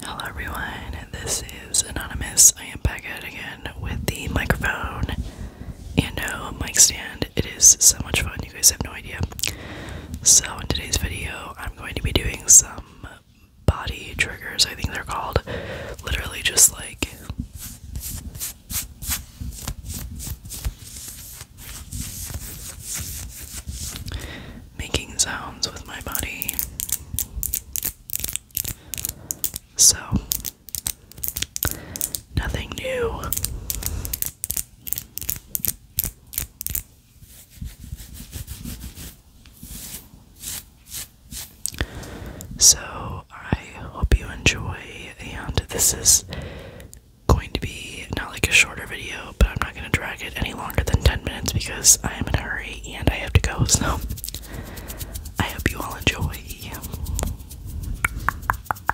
Hello, everyone. This is Anonymous. I am back out again with the microphone and a uh, mic stand. It is so much fun, you guys have no idea. So, in today's video, I'm going to be doing some body triggers, I think they're called. Literally, just like making sounds with my body. So, nothing new. So, I hope you enjoy, and this is going to be not like a shorter video, but I'm not going to drag it any longer than 10 minutes because I am in a hurry and I have to go. So, I hope you all enjoy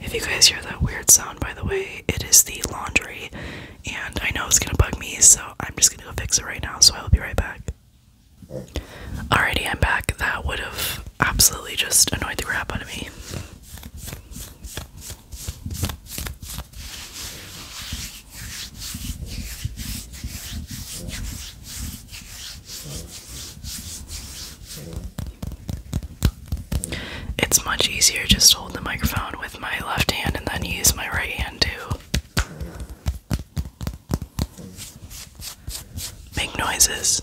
If you guys hear that weird sound, by the way, it is the laundry, and I know it's gonna bug me, so I'm just gonna go fix it right now. So I'll be right back. Alrighty, I'm back. That would have absolutely just annoyed the crap out of me. It's much easier just to hold the microphone with my left hand and then use my right hand to Make noises.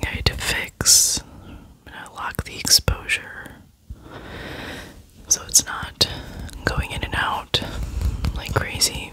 I need to fix. and I'm lock the exposure so it's not going in and out like crazy.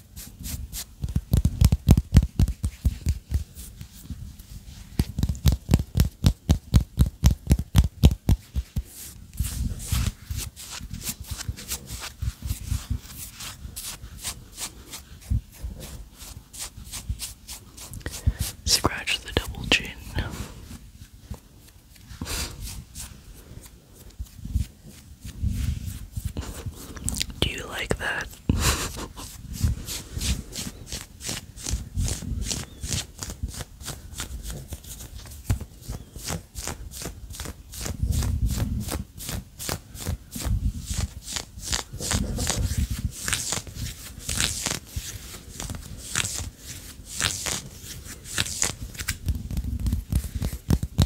Scratch the double chin. Do you like that?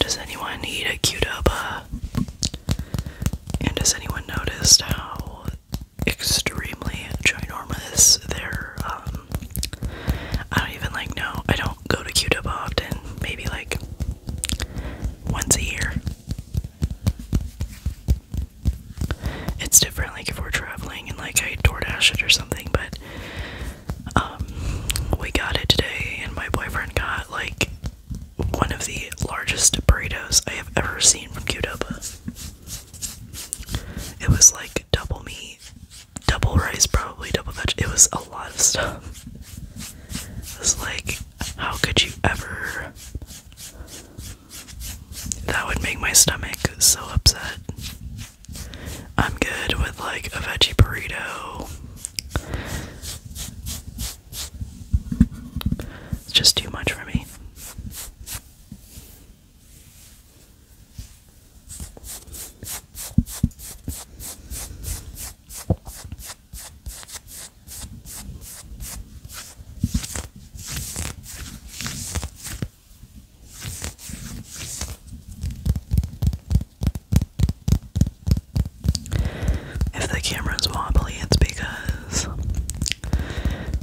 Does anyone need a Qdoba? And does anyone noticed how extremely ginormous they're? Um, I don't even like No, I don't go to Qdoba often, maybe like once a year. It's different, like if we're traveling and like I DoorDash it or something, but um, we got it today, and my boyfriend got like one of the largest burritos I have ever seen from Qdoba. It was like double meat, double rice, probably double veg. It was a lot of stuff. It was like how could you ever? That would make my stomach so upset. I'm good with like a veggie burrito. It's just too much for me. If the camera's wobbly, it's because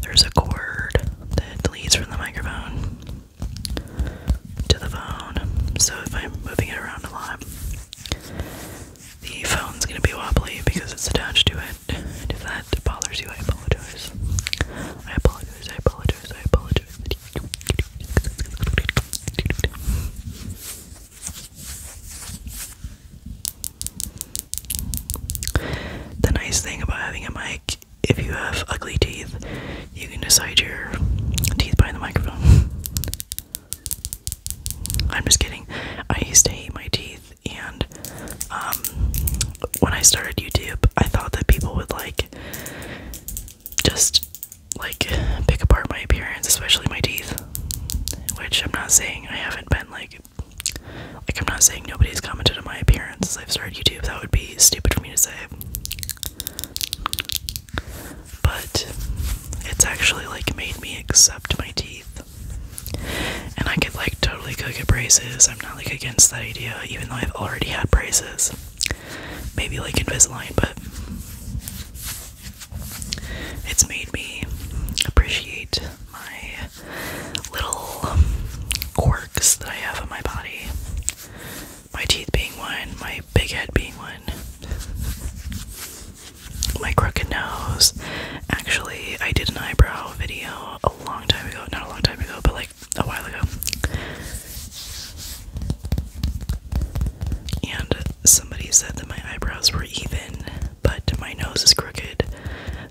there's a cord that leads from the microphone to the phone. So if I'm moving it around a lot, the phone's gonna be wobbly because it's attached to it. And if that bothers you, I apologize. I apologize, I apologize, I apologize. The nice thing about having a mic, if you have ugly teeth, you can decide your teeth by the microphone. I'm just kidding. I used to hate my teeth, and um, when I started YouTube, I thought that people would like just like pick apart my appearance, especially my teeth. Which I'm not saying I haven't been like, like I'm not saying nobody's commented on my appearance. I've started YouTube. That would be stupid for me to say. But it's actually like made me accept my teeth. And I could like totally go get braces. I'm not like against that idea, even though I've already had braces. Maybe like Invisalign, but it's made me appreciate my little quirks that I have in my body my teeth being one, my big head being one, my crooked nose. Actually, I did an eyebrow video a long time ago, not a long time ago, but like a while ago. And somebody said that my eyebrows were even, but my nose is crooked.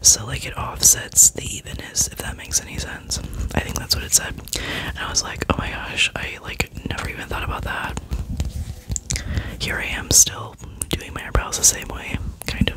So, like, it offsets the evenness, if that makes any sense. I think that's what it said. And I was like, oh my gosh, I like never even thought about that. Here I am still doing my eyebrows the same way, kind of.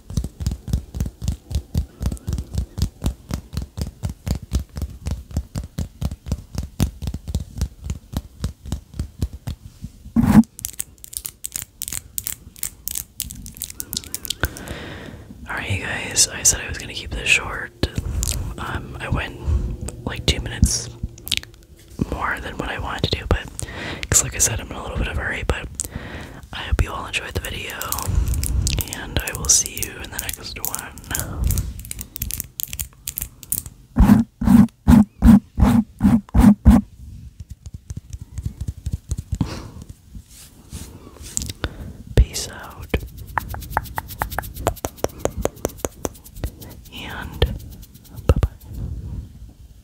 Alright, you guys, I said I was gonna keep this short. Um, I went like two minutes more than what I wanted to do, but because, like I said, I'm in a little bit of a hurry. But I hope you all enjoyed the video, and I will see you in the next one. Peace out. And bye bye.